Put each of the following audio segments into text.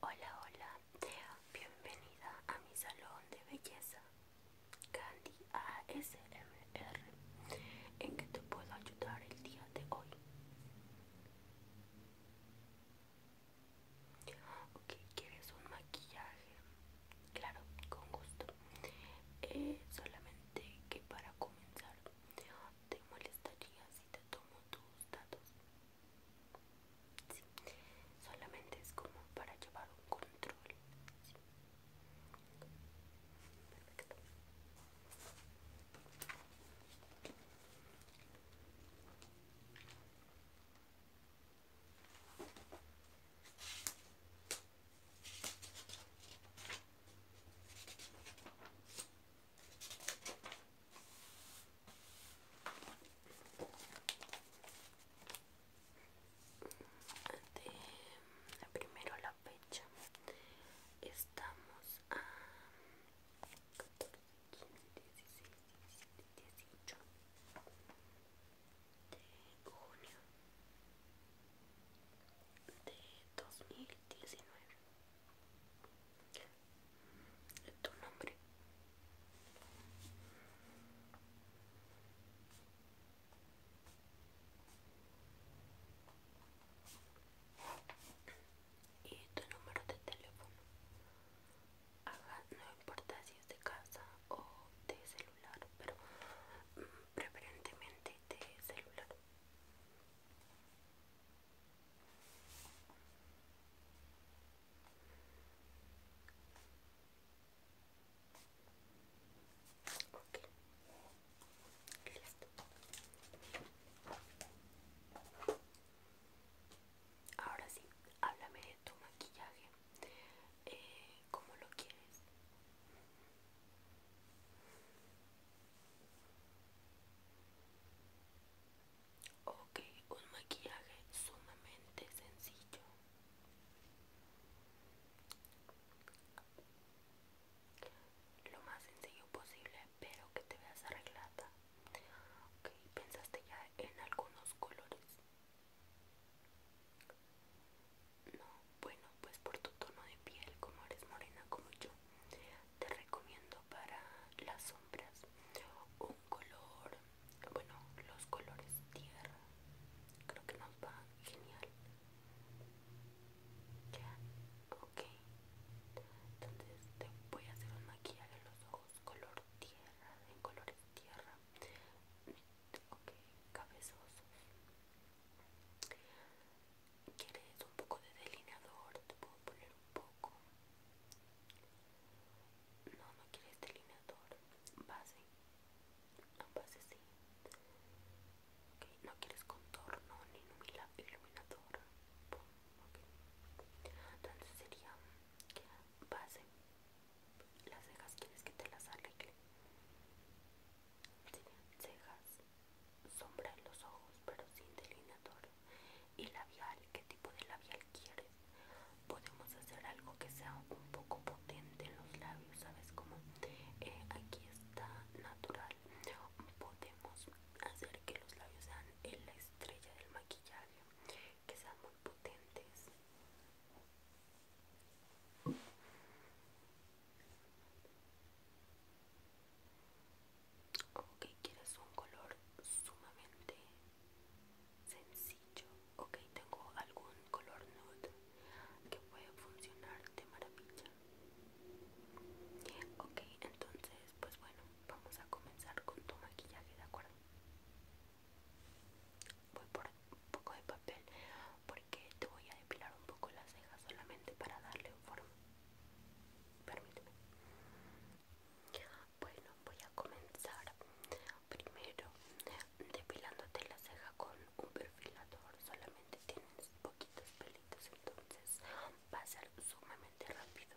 Hola, hola, bienvenida a mi salón de belleza Candy ASMR. ¿En qué te puedo ayudar el día de hoy? Ok, ¿quieres un maquillaje? Claro, con gusto. Eh, solamente que para comenzar, ¿te molestarías? tomo tus datos solamente es como para llevar un control de primero la fecha estamos a 14, 15, 16, 17, 18 de junio de 2019 tu nombre y tu número de teléfono no importa si es de casa o de celular pero mm, preferentemente de celular Ahora sí, háblame de tu maquillaje. Eh, ¿Cómo lo quieres? Ok, un maquillaje sumamente sencillo. Lo más sencillo posible, pero que te veas arreglada. Ok, pensaste ya en algunos colores. No, bueno, pues por tu tono de piel, como eres morena como yo, te recomiendo para las sombras un color bueno los colores tierra creo que nos va genial ya ok entonces te voy a hacer un maquillaje en los ojos color tierra en colores tierra ok cabezosos ¿Quieres un poco de delineador? ¿Te puedo poner un poco? No, no quieres delineador. Base. Base sí. No quieres contorno ni iluminador. Entonces sería base. Las cejas quieres que te las arregle. Serían cejas sombra en los ojos pero sin delineador y labial, ¿qué tipo de labial quieres? Podemos hacer algo que sea un poco potente en los labios, ¿sabes cómo? Eh, aquí está natural. Podemos hacer que los labios sean en la estrella del maquillaje, que sean muy potentes. Ok, quieres un color sumamente sencillo. Ok, tengo algún color nude que puede funcionar de maravilla. Ok, entonces, pues bueno, vamos a comenzar con tu maquillaje, ¿de acuerdo? Voy por un poco de papel que te voy a depilar un poco las cejas solamente para darle forma. Permíteme. Bueno, voy a comenzar primero depilándote la ceja con un perfilador. Solamente tienes poquitos pelitos, entonces va a ser sumamente rápido.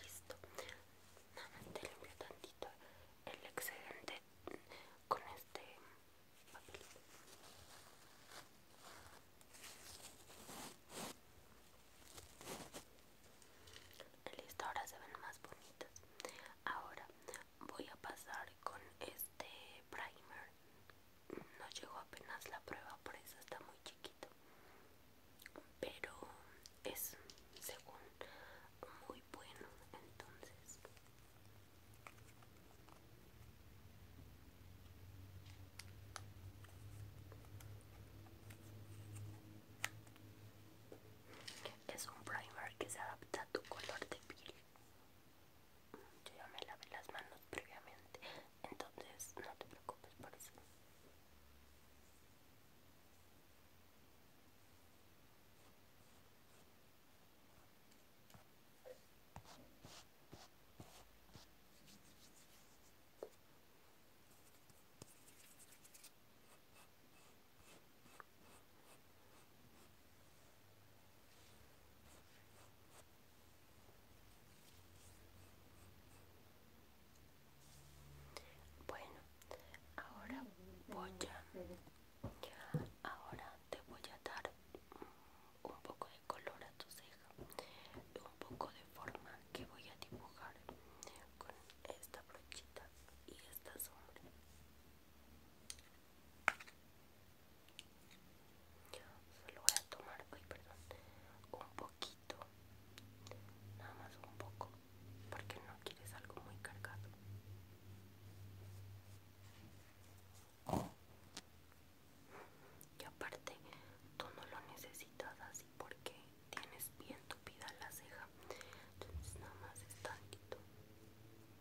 Listo. Nada más te limpio tantito el excedente con este papel. Listo, ahora se ven más bonitas. Ahora voy a pasar con este primer no llegó apenas la prueba por eso está muy chiquito pero es según muy bueno entonces es un primer que se adapta a tu color de piel yo ya me lavé las manos previamente, entonces no te preocupes por eso. Bueno, ahora voy a, ahora te voy a dar un poco de color a tu ceja, un poco de forma que voy a dibujar con esta brochita y esta sombra. Solo voy a tomar, perdón, un poquito, nada más un poco, porque no quieres algo muy cargado. Y aparte, tú no lo necesitas así porque tienes bien tupida la ceja. Entonces nada más es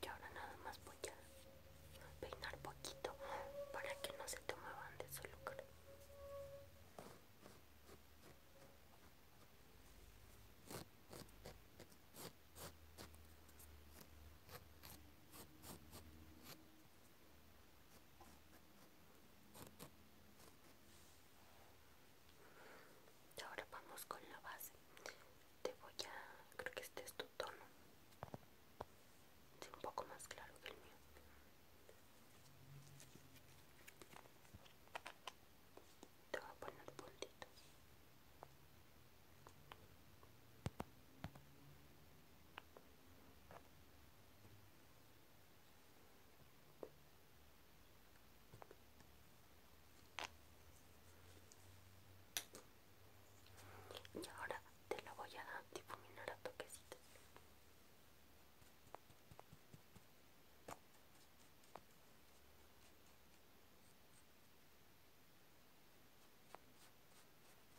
Y ahora nada más voy a peinar poquito para que no se te de su lugar. Ahora vamos con la base. Te voy a... Creo que este es tu tono. Es un poco más claro que el mío. Te voy a poner puntitos. Y ahora te lo voy a difuminar a toquecitos elemento?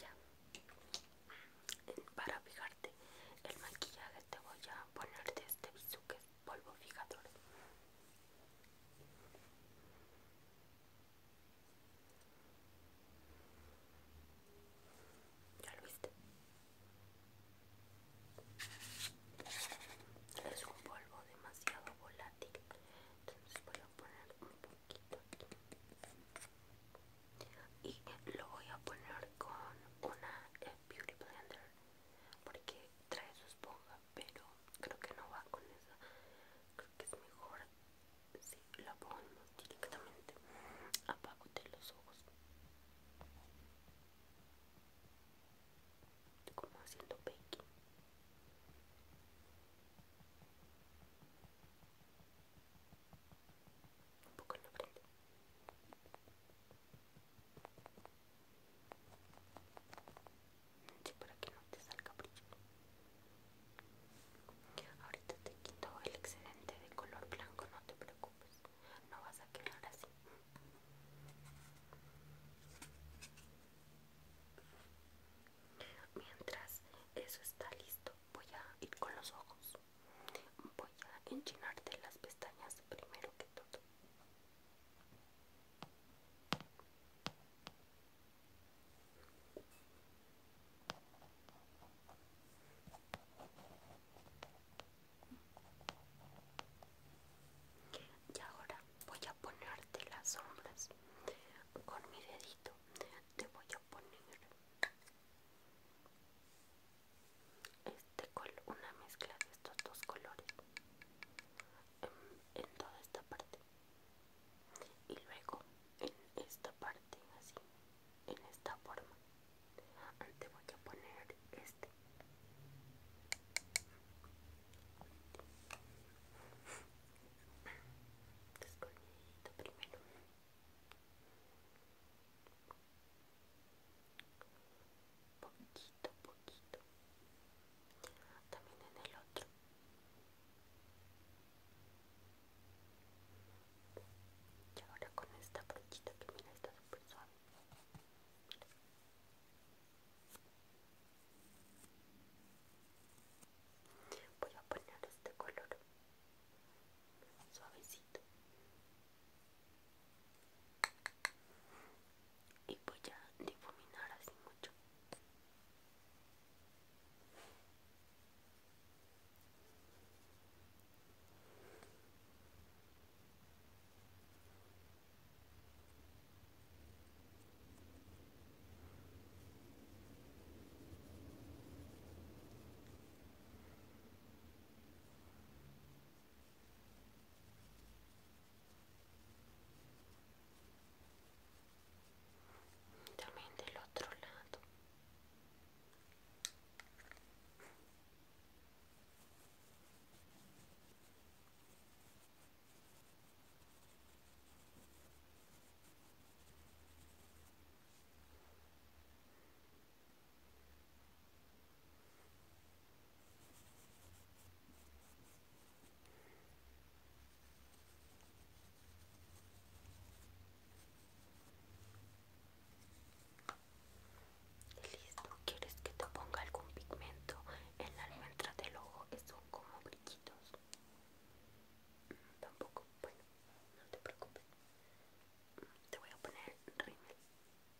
Ya. Para fijarte el maquillaje te voy a poner de este bizuque polvo fijador. ¿Ya lo viste? Es un polvo demasiado volátil, entonces voy a poner un poquito aquí. Y lo voy a poner con una eh, Beauty Blender porque trae su esponja pero creo que no va con esa creo que es mejor si la ponemos directamente abajo de los ojos como haciendo baking un poco la frente para que no te salga brillo. Ahorita te quito el excedente de color blanco, no te preocupes. No vas a quedar así. Mientras eso está listo, voy a ir con los ojos. Voy a enchinarte las pestañas primero que todo. Y ahora voy a ponerte las sombras con mi dedito. Te voy a poner este una mezcla de estos dos colores em, en, toda esta parte y luego en esta parte así en esta forma antes voy a poner este, este primero poquito poquito también en el otro y ahora con esta brochita que mira está súper suave voy a poner este color suavecito y voy pues a difuminar así mucho también del otro lado Listo, ¿quieres que te ponga algún pigmento en la los del ojo? Son como brillitos. Mm, tampoco, bueno, no te preocupes. Mm, te voy a poner rímel.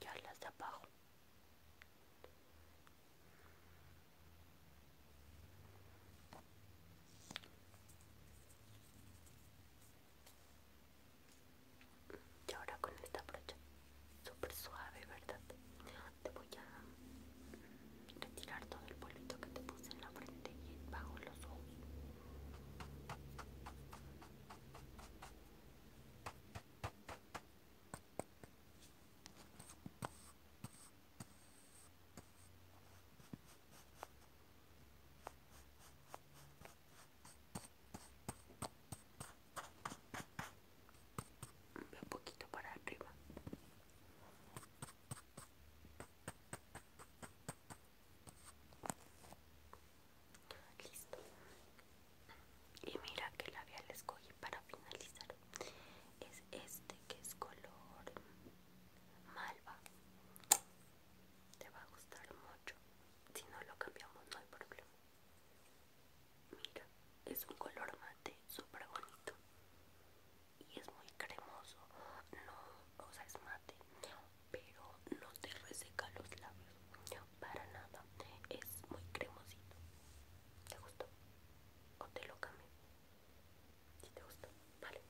ya las de y ahora con esta brocha súper suave verdad te voy a retirar todo el polvito que te puse en la frente y bajo los ojos un poquito para arriba. Listo. Y mira que labial escogí para finalizar. Es este que es color malva. Te va a gustar mucho. Si no lo cambiamos no hay problema. Mira, es un color mate súper bonito y es muy cremoso, no, o sea, es mate, pero no te reseca los labios, para nada, es muy cremosito. ¿Te gustó? ¿O te lo cambié? Si te gustó, vale.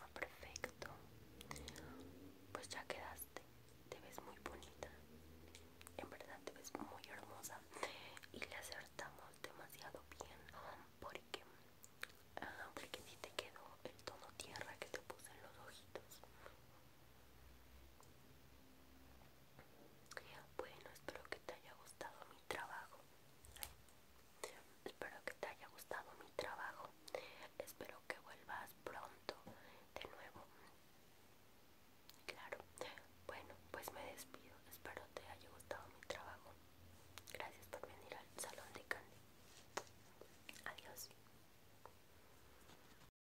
Ah, perfecto. Pues ya quedaste. Te ves muy bonita. En verdad te ves muy hermosa. Y le acertamos demasiado bien. Porque, aunque ah, te quedó el tono tierra que te puse en los ojitos. Bueno, espero que te haya gustado mi trabajo. Espero que te haya gustado mi trabajo. Espero que vuelvas pronto de nuevo. Claro. Bueno, pues me despido. Espero te haya gustado mi trabajo. Gracias por venir al salón de Candy. Adiós.